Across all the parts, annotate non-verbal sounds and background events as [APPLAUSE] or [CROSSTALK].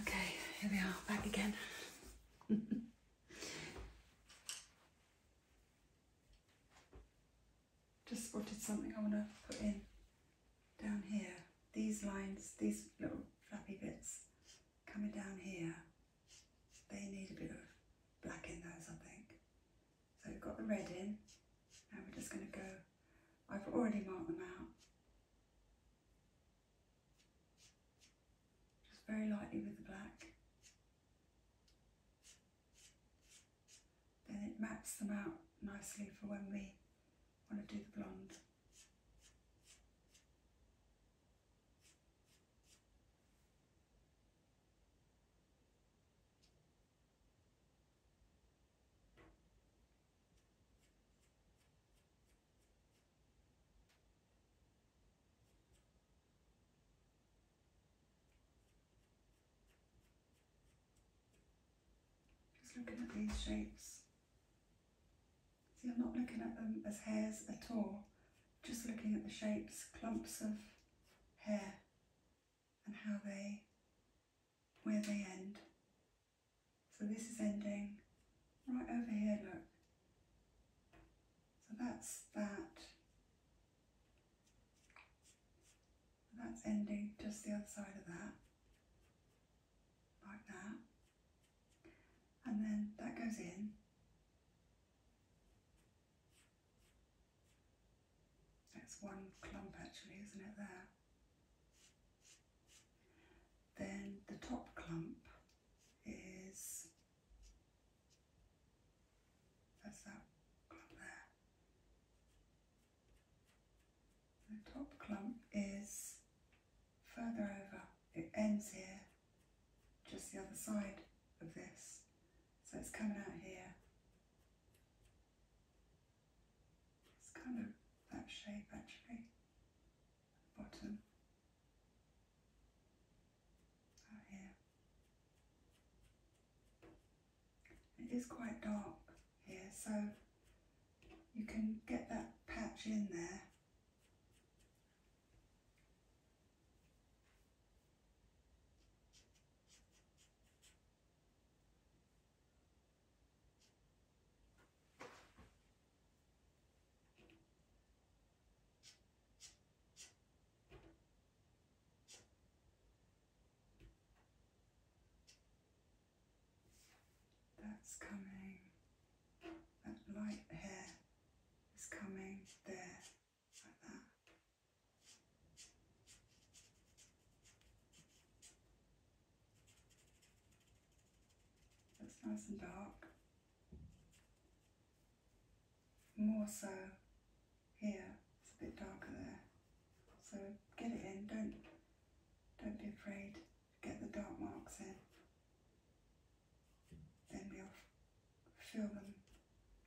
Okay, here we are, back again. Just spotted something I want to put in down here. These lines, these little flappy bits coming down here, they need a bit of black in those, I think. So we've got the red in, now we're just going to go I've already marked them out. Just very lightly with the black. Then it maps them out nicely for when we want to do the blonde. Just looking at these shapes. See, I'm not looking at them as hairs at all, just looking at the shapes, clumps of hair and how they, where they end so this is ending right over here, look. So that's that. that's ending just the other side of that, like that. And then that goes in. That's one clump actually, isn't it, there? Then the top clump is, that's that clump there. The top clump is further over, it ends here, just the other side of this. So it's coming out here it's kind of that shape actually, bottom, out oh, here. It is quite dark here, so you can get that patch in there. That's coming. That light hair is coming there, like that. That's nice and dark. More so here, it's a bit darker there. So get it in, don't, don't be afraid. Get the dark marks in. Then we'll fill them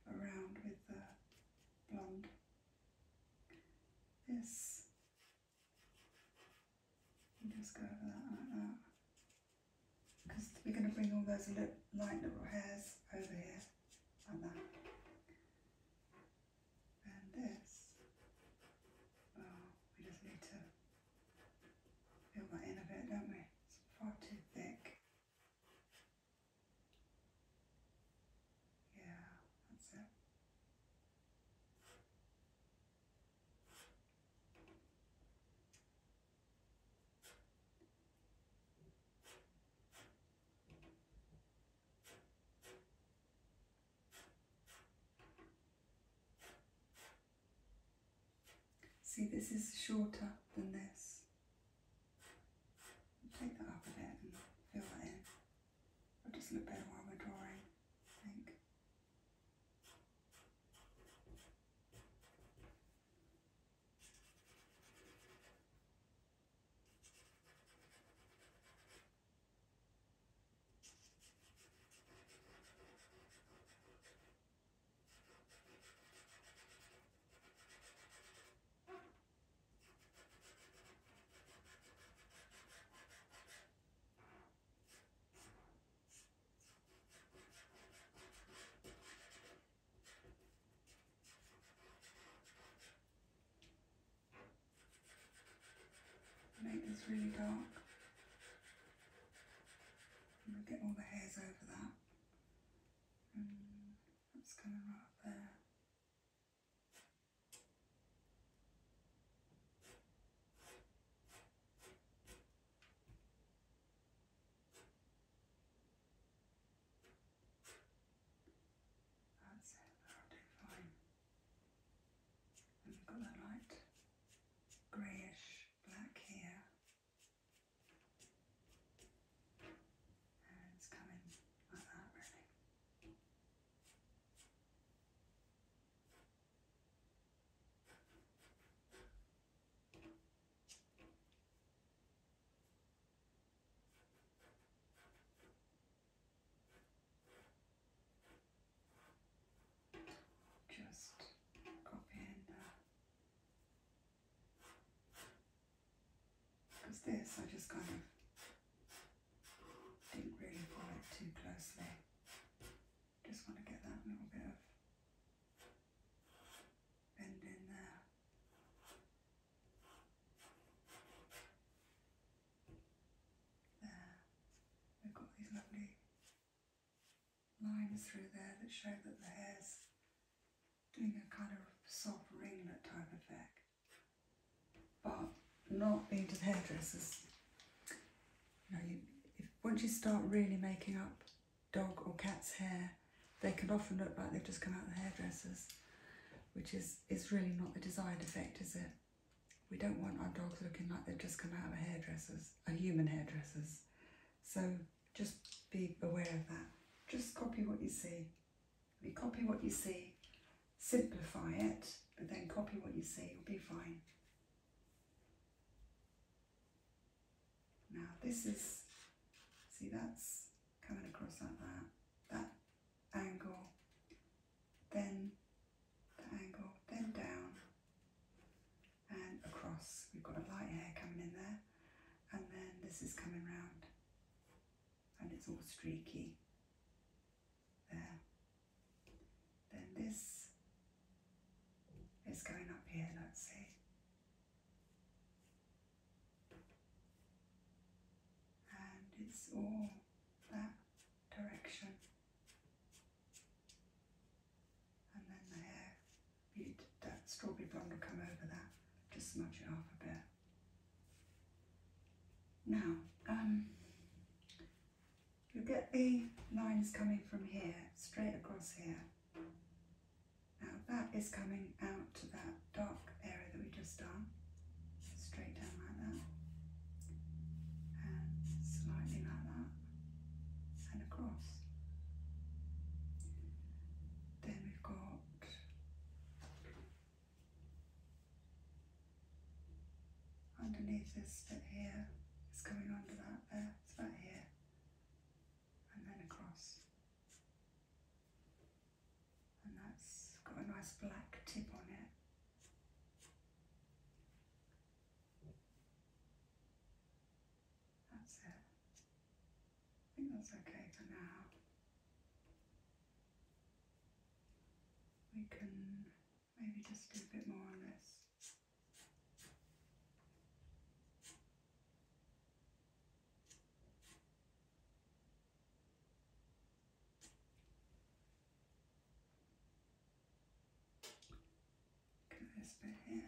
around with the blonde. This just go over that like that. Because we're going to bring all those little, light little hairs over here, like that. And this, well, oh, we just need to fill that in a bit, don't we? It's far too thick. Yeah, that's it. See, this is shorter than this. Take that up a bit and fill that in. I'll just look better while we're drawing, I think. Make this really dark. get all the hairs over that. And that's going to right there. That's it, that'll fine. And you've got that light greyish black here. And it's coming like that, really. Just copying that. Because this, I just kind of didn't really follow it too closely. Just want to get that little bit of bend in there. There. We've got these lovely lines through there that show that the hair's doing a kind of soft ringlet type effect. But not into the hairdressers. You know, once you start really making up dog or cat's hair, they can often look like they've just come out of the hairdressers, which is, is really not the desired effect, is it? We don't want our dogs looking like they've just come out of a hairdresser's, a human hairdresser's. So just be aware of that. Just copy what you see. You copy what you see, simplify it, but then copy what you see, you'll be fine. Now this is, see that's coming across like that, that angle, then the angle, then down and across. We've got a light hair coming in there and then this is coming round and it's all streaky. There. Then this is going up here, let's see. And it's all that direction. And then the hair, that strawberry blonde will come over that, just smudge it off a bit. Now, um, Look at the lines coming from here, straight across here. Now that is coming out to that dark area that we just done. straight down like that. And slightly like that. And across. Then we've got underneath this bit here, it's coming under that there, it's about here, and then across. And that's got a nice black tip on it. That's it. I think that's okay for now. We can maybe just do a bit more on this. Crisp hair.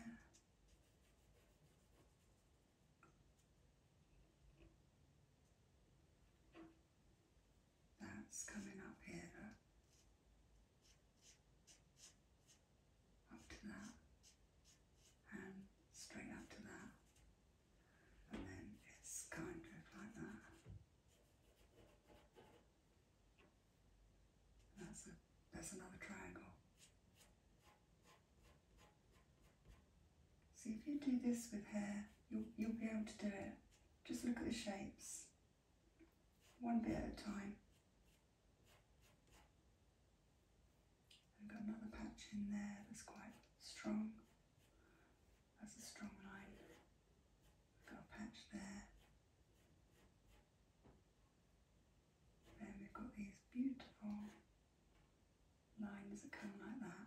That's coming up here up to that, and um, straight up to that, and then it's kind of like that. That's a that's another triangle. So if you do this with hair, you you'll be able to do it. Just look at the shapes one bit at a time. I've got another patch in there that's quite strong. That's a strong line. I've got a patch there. Then we've got these beautiful lines that come like that.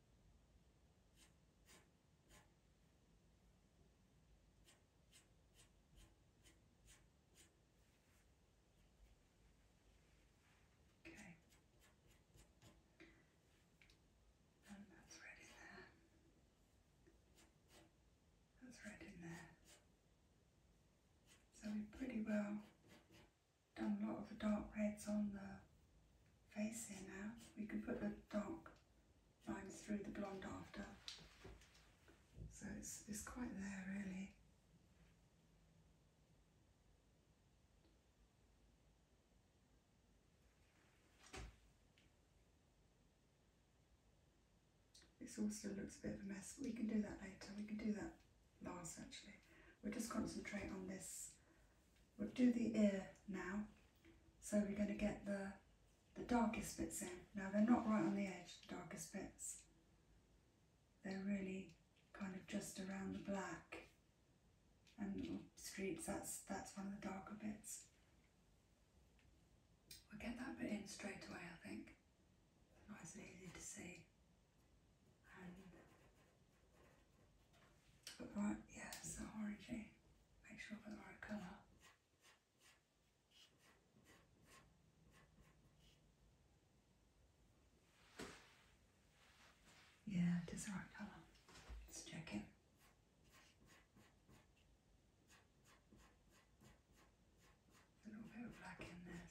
Okay. And that's red in there. That's red in there. So we've pretty well done a lot of the dark reds on the face here now. We can put the dark lines through the blonde after. So it's, it's quite there really. This all still looks a bit of a mess. We can do that later. We can do that last actually. We'll just concentrate on this We'll do the ear now. So we're going to get the, the darkest bits in. Now they're not right on the edge, the darkest bits. They're really kind of just around the black and little streaks, that's, that's one of the darker bits. We'll get that bit in straight away, I think. Nice and easy to see. Um, right, yeah, it's the orangey. Make sure I've got the right colour. Yeah, it is the right colour. Let's check it. A little bit of black in there, um,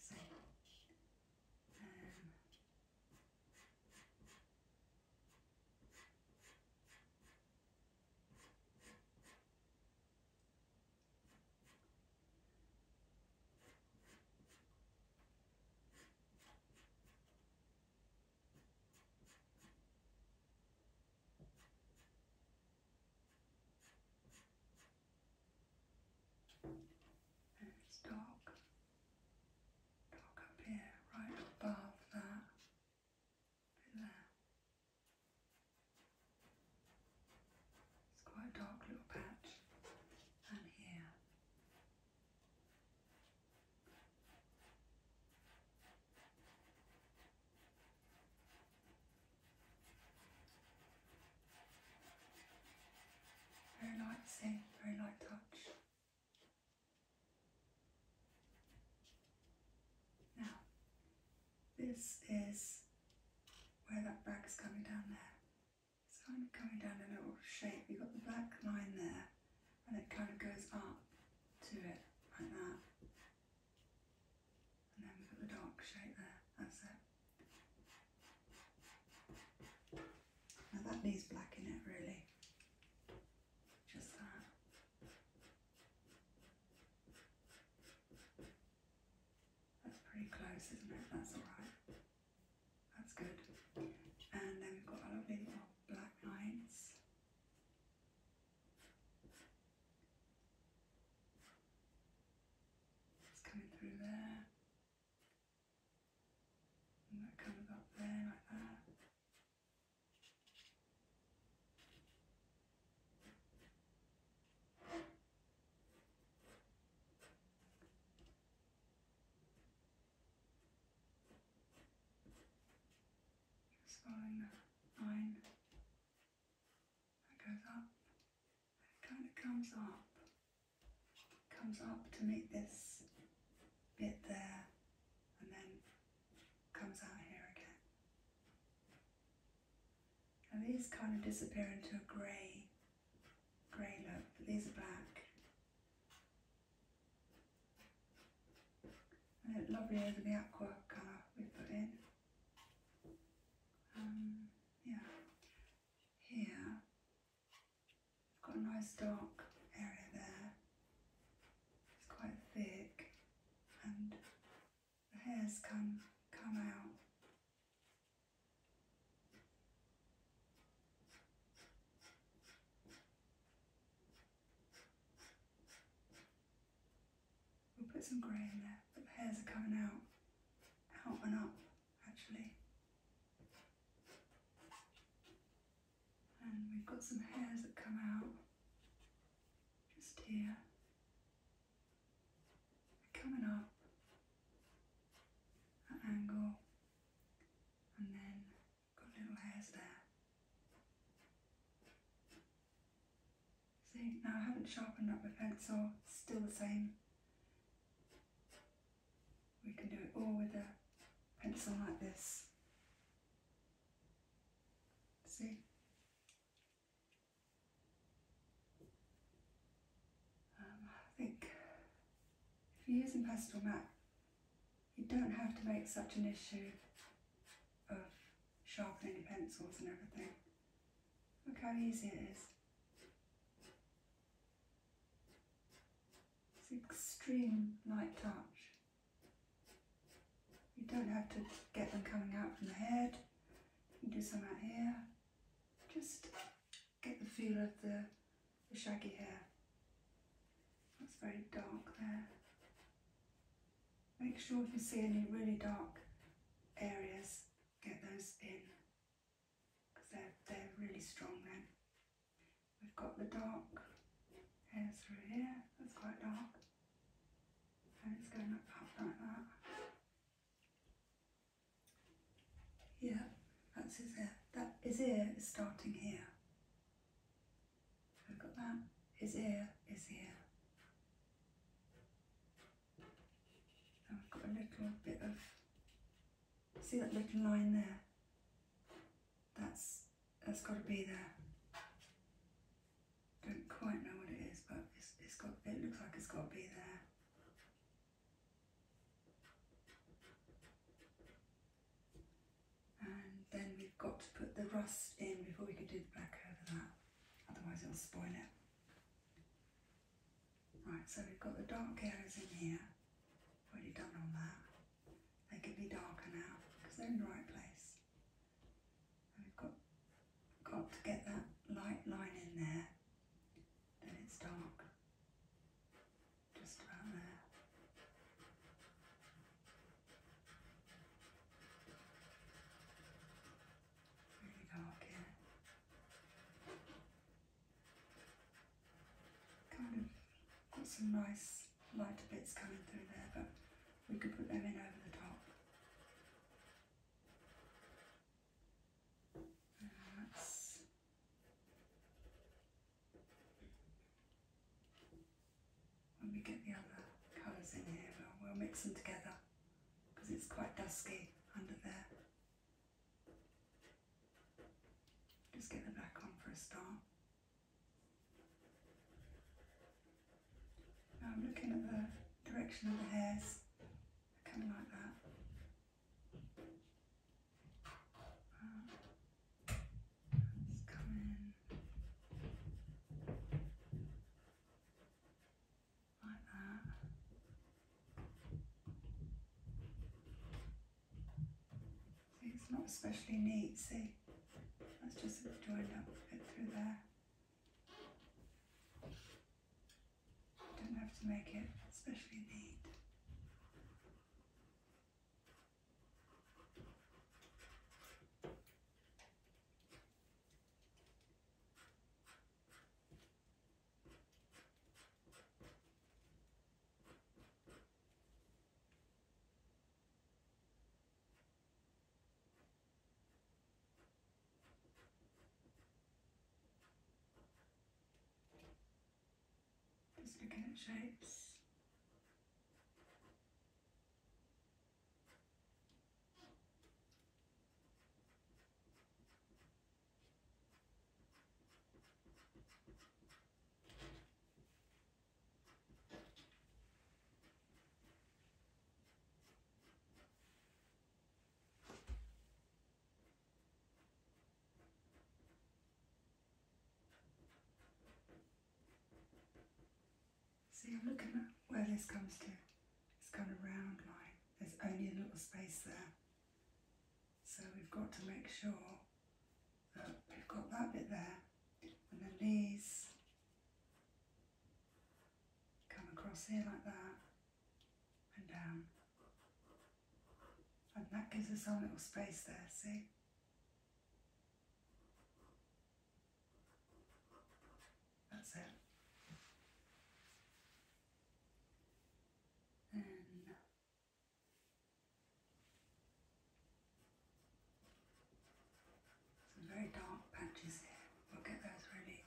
it's dark up here, right above that there. It's quite a dark little patch, and here. Very light, see, very light touch. Now, this is where that bag is coming down there. It's kind of coming down in a little shape. You've got the black line there, and it kind of goes up to it like that. And then we've got the dark shape there. That's it. Now that needs black it really. Just that. That's pretty close, isn't it? That's alright. That's good. And then we've got our lovely little black lines. It's coming through there. And that comes up there like that. Just going the line that goes up, it kind of comes up, comes up to meet this bit there, and then comes out here again. Now these kind of disappear into a grey, grey look, but these are black. And it lovely over the aqua colour we put in. Um, yeah, here I've got a nice dark area there. It's quite thick and the hairs come, come out. We'll put some grey in there, the hairs are coming out, out and up actually and we've got some hairs that come out just here. coming up at angle and then got little hairs there. See, now I haven't sharpened up the pencil, it's still the same. We can do it all with a pencil like this. See? Um, I think if you're using pastel matte, you don't have to make such an issue of sharpening your pencils and everything. Look how easy it is. It's extreme light touch. You don't have to get them coming out from the head. You do some out here. Just get the feel of the, shaggy hair. That's very dark there. Make sure if you see any really dark areas, get those in because they're, they're really strong then. We've got the dark hairs through here, that's quite dark. And it's going up, like that. Yeah, that's his ear. That his ear is starting here. We've got that. His ear is here. And we've got a little bit of see that little line there? That's that's got to be there. Don't quite know what it is, but it's, it's got. It looks like it's got to be there. And then we've got to put the rust in before we can do the black over that, otherwise it'll spoil it. Right, so we've got the dark areas in here. Already done all that. They could be darker now because they're in the right place. And have got, got to get that light line in there, then it's dark. Just about there. Really dark here. Kind of got some nice lighter bits coming through there, but we could put them in over the top. That's when we get the other colours in here, we'll, mix them together because it's quite dusky under there. Just get the black for a start. I'm looking at the direction of the hairs, coming like that. coming like that. It's not especially neat, see? That's just joined up a bit through there. Don't have to make it especially neat. Just looking at shapes. See, I'm looking at where this comes to. It's kind of round like There's only a little space there. So we've got to make sure We've got that bit there, and then these come across here like that and down. And that gives us our little space there, see? That's it. And some very dark patches here. We'll get those really,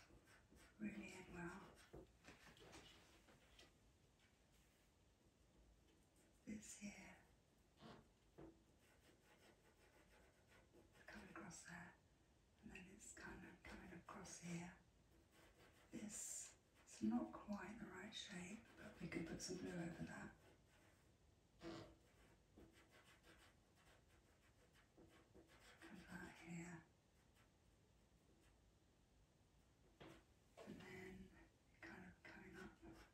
really in well. This here. Coming across there. And then it's kind of coming across here. This it's not quite the right shape, but we could put some blue over that about here, and then kind of coming up like that.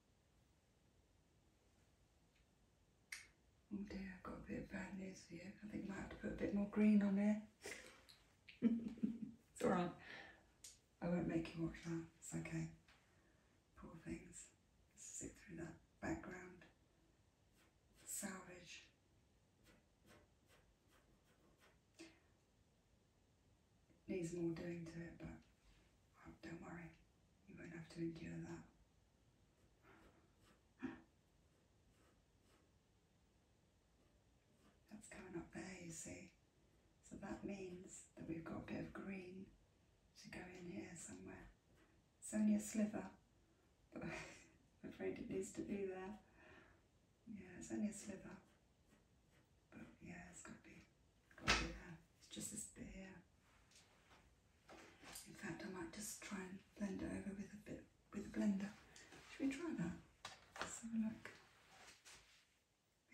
Oh dear, I've got a bit of bad news for you. I think I might have to put a bit more green on there. [LAUGHS] it's alright. I won't make you watch that. It's okay. Poor things. Sit through that background. Salvage. needs more doing to it, but oh, don't worry. You won't have to endure that. That's coming up there, you see. So that means that we've got a bit of green to go in here somewhere. It's only a sliver, but [LAUGHS] I'm afraid it needs to be there. Yeah, it's only a sliver, but yeah, it's got to be it's just this bit here. In fact, I might just try and blend it over with a bit with a blender. Should we try that? Let's have a look.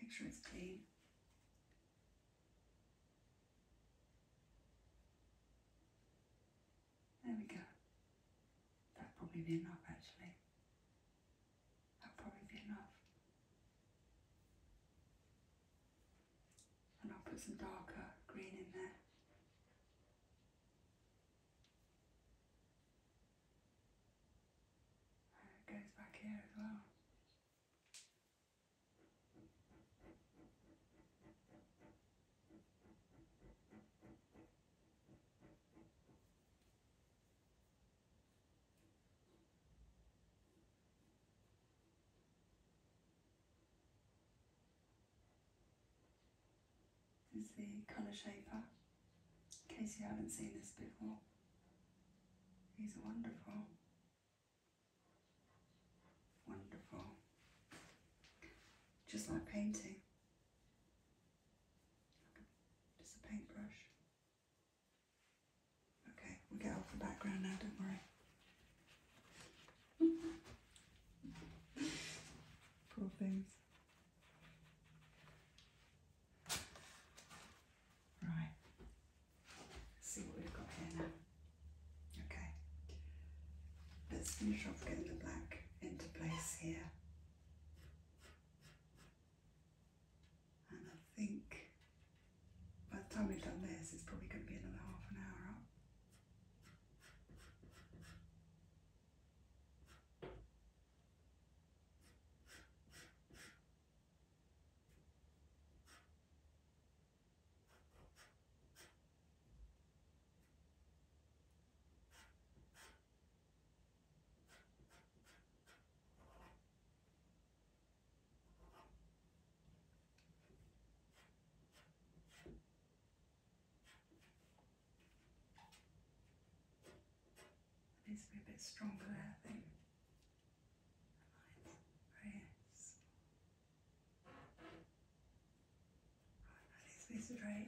Make sure it's clean. There we go. that probably be enough actually. That'll probably be enough and I'll put some darker green in there. it goes back here as well. This Is the colour shaper, in case you haven't seen this before. These are wonderful. Wonderful. Just like painting. Just a paintbrush. Okay, we'll get off the background now, don't worry. Cool [LAUGHS] things. Right, let's see what we've got here Okay, let's finish off getting the black into place here. And I think by the time we've done this, it's probably going to be another half an hour Needs to be a bit stronger there, I think. This is right.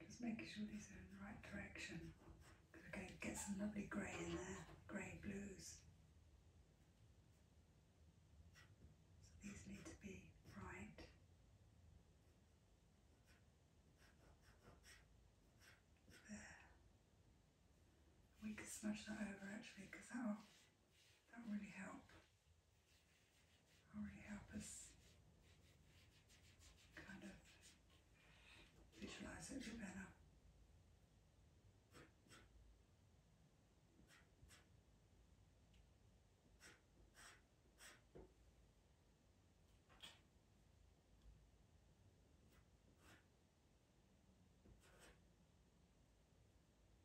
Just making sure these are in the right direction. Because we're going get some lovely grey in there, grey blues. So these need to be right. There. We could smudge that over actually because that'll, that'll really help really help us kind of visualize it better.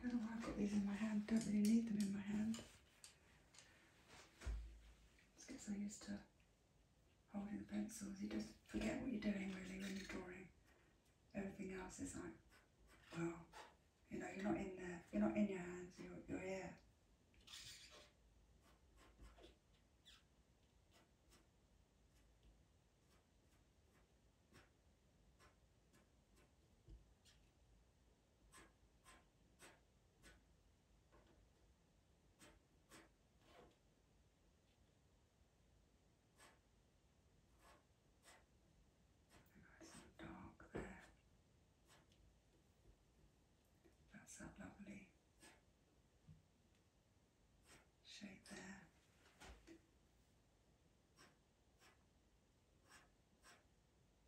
Don't know why I've got these in my hand. Don't really need them in my hand. Let's so used to holding the pencils. You just forget what you're doing really when you're drawing. Everything else is like, well, you know, you're not in there. You're not in your hands. You're, you're here. Nice and dark there. That's that lovely shape there.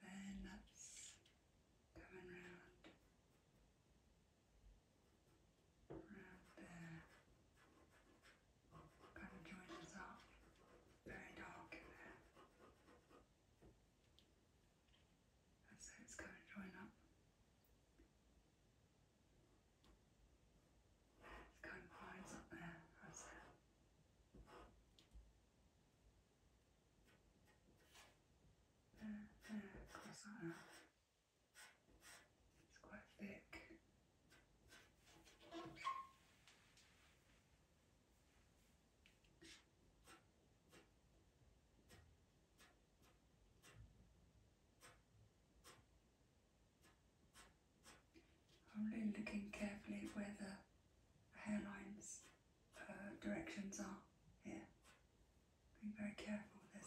Then that's coming round, round there. Kind of joins up. Very dark in there. And so it's going to join up. It's kind of lines up there, that's it. It's quite thick. I'm really looking carefully where the hairlines directions are here. Be very careful with this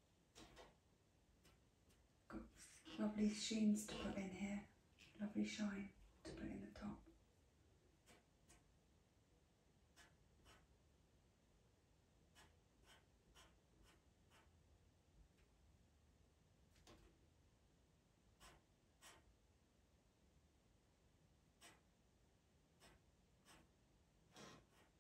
Got lovely sheens to put in here, lovely shine to put in the top.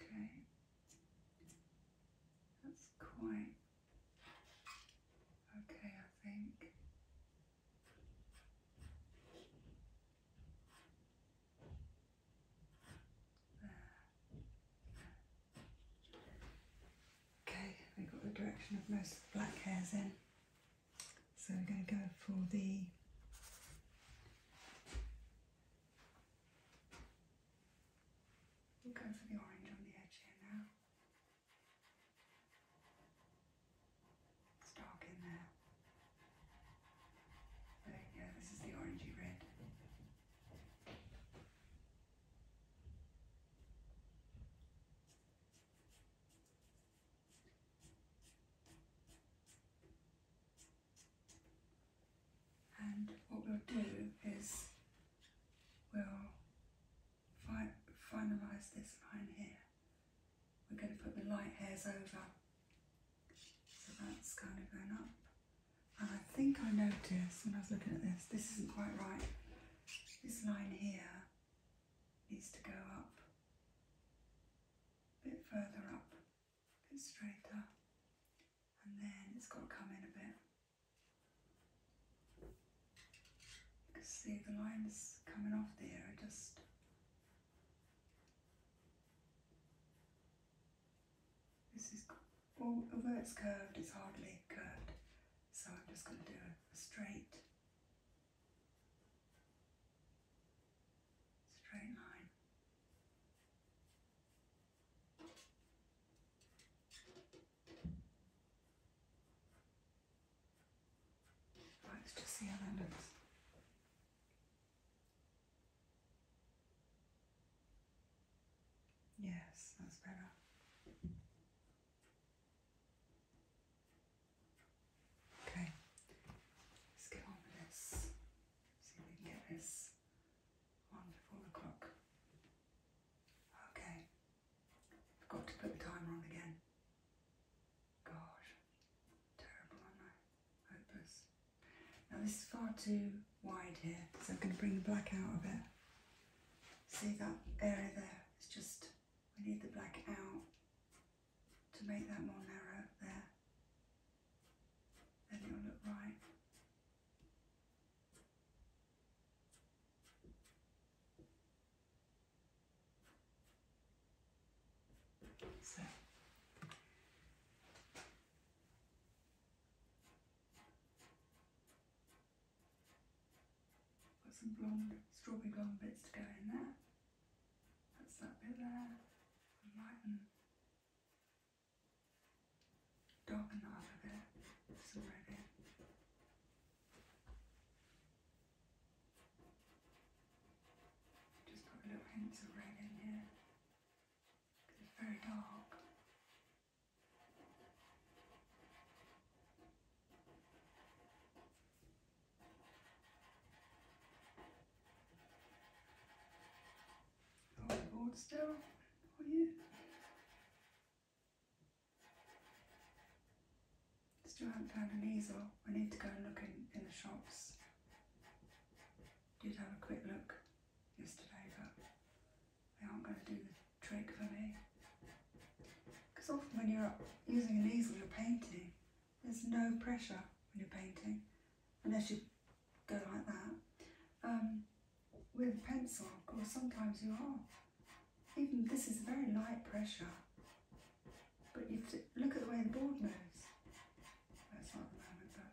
Okay, that's quite Okay, I think. Okay, we've got the direction of most of the black hairs in. So we're going to go for the We'll go for the orange on the edge here now. It's dark in there. There this is the orangey red. And what we'll do is we'll finalise this line here. We're going to put the light hairs over. So that's kind of going up. And I think I noticed when I was looking at this, this isn't quite right. This line here needs to go up a bit further up, a bit straighter, and then it's got to come in a bit. You can see the lines coming off there, I just this is well, although it's curved, it's hardly curved, so I'm just going to do a straight, straight line. Let's just see how that looks. Yes, that's better. Okay, let's get on with this. See if get this one clock. Okay, Forgot to put the timer on again. Gosh, terrible, are I? Hopeless. Now this is far too wide here, so I'm going to bring the black out a bit. See that area there? It's just, we need the black out to make that more narrow there. Then it'll look right. So. Got some blonde, strawberry blonde bits to go in there. That's that bit there. lighten, darken that up bit. It's already. Just put a little hint of red in here. Because it's very dark. Hold still, are you? Still haven't found an easel. I need to go and look in, the shops. Did have a quick look yesterday, but they aren't going to do the trick for me. Because often when you're using an easel, you're painting. There's no pressure when you're painting, unless you go like that. Um, with a pencil, Or sometimes you are. Even this is very light pressure. But you look at the way the board moves. That's not the moment,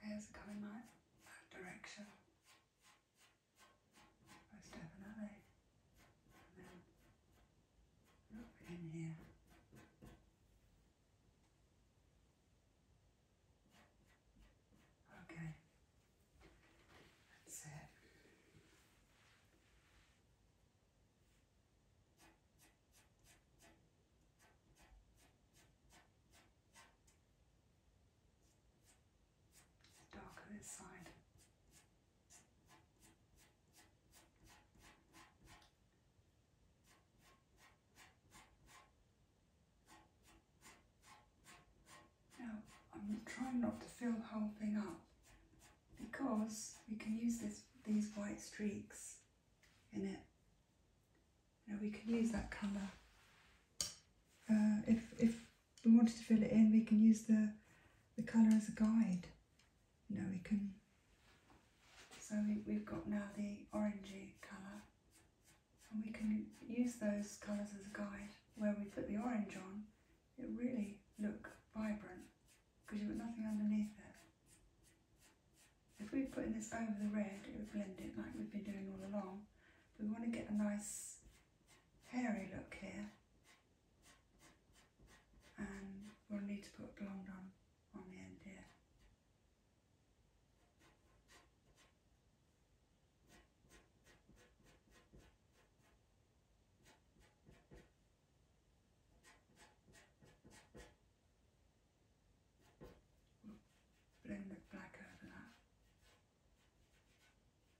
Hairs are coming my direction. Most definitely. And then in here. Okay. That's it darker side. Now, I'm trying not to fill the whole thing up because we can use these white streaks in it you we can use that colour. Uh, if, if we wanted to fill it in, we can use the, the colour as a guide. You we can... So we, we've got now the orangey colour. And we can use those colours as a guide. Where we put the orange on, it really look vibrant because you've got nothing underneath it. If we are putting this over the red, it would blend it like we've been doing all along. But we want to get a nice hairy look here. And we'll need to put blonde on, on the end here. But the black that.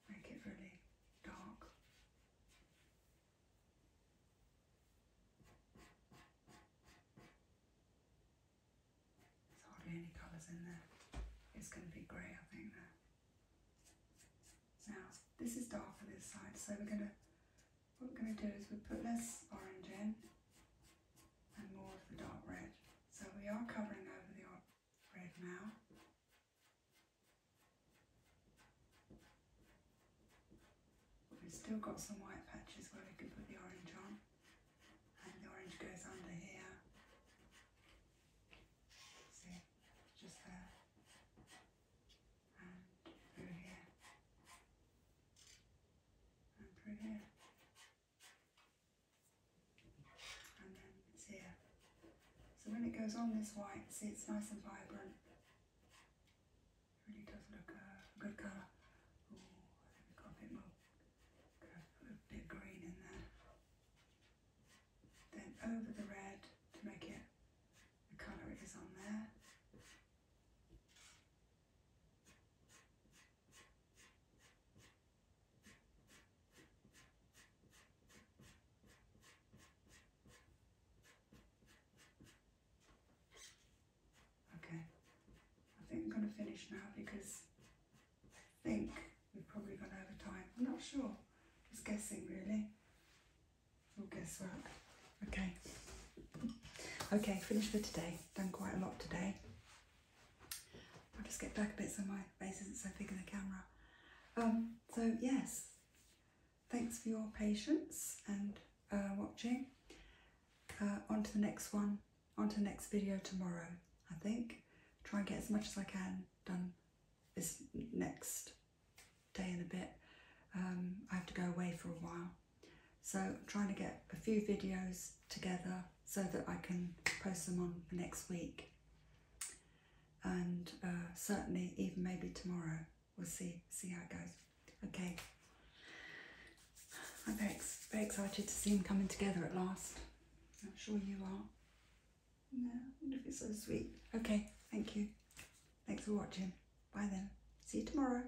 Make it really dark. There's hardly any colours in there. It's going to be grey, I think, Now, this is dark for this side, so we're going to, what we're going to do is we put this orange in and more of the dark red. So we are covering over the red now. We've still got some white patches where we can put the orange on. And the orange goes under here. See, just there. And through here. And through here and then it's here. So when it goes on this white, see it's nice and vibrant. really does look uh, a good colour. Ooh, we've got a bit more, a bit green in there. Then over the red to make it the colour it is on there. Okay, I think I'm going to finish now because I think we've probably gone over time. I'm not sure, just guessing really. guess what. Okay. [LAUGHS] Okay, finished for today. Done quite a lot today. I'll just get back a bit so my face isn't so big in the camera. Um, so yes, thanks for your patience and uh, watching. Uh, on to the next one, on to the next video tomorrow, I think. Try and get as much as I can done this next day in a bit. Um, I have to go away for a while. So trying to get a few videos together so that I can post them on next week. And uh, certainly even maybe tomorrow. We'll see, see how it goes. Okay. I'm very, very excited to see them coming together at last. I'm sure you are. No, wonder if it's so sweet. Okay, thank you. Thanks for watching. Bye then. See you tomorrow.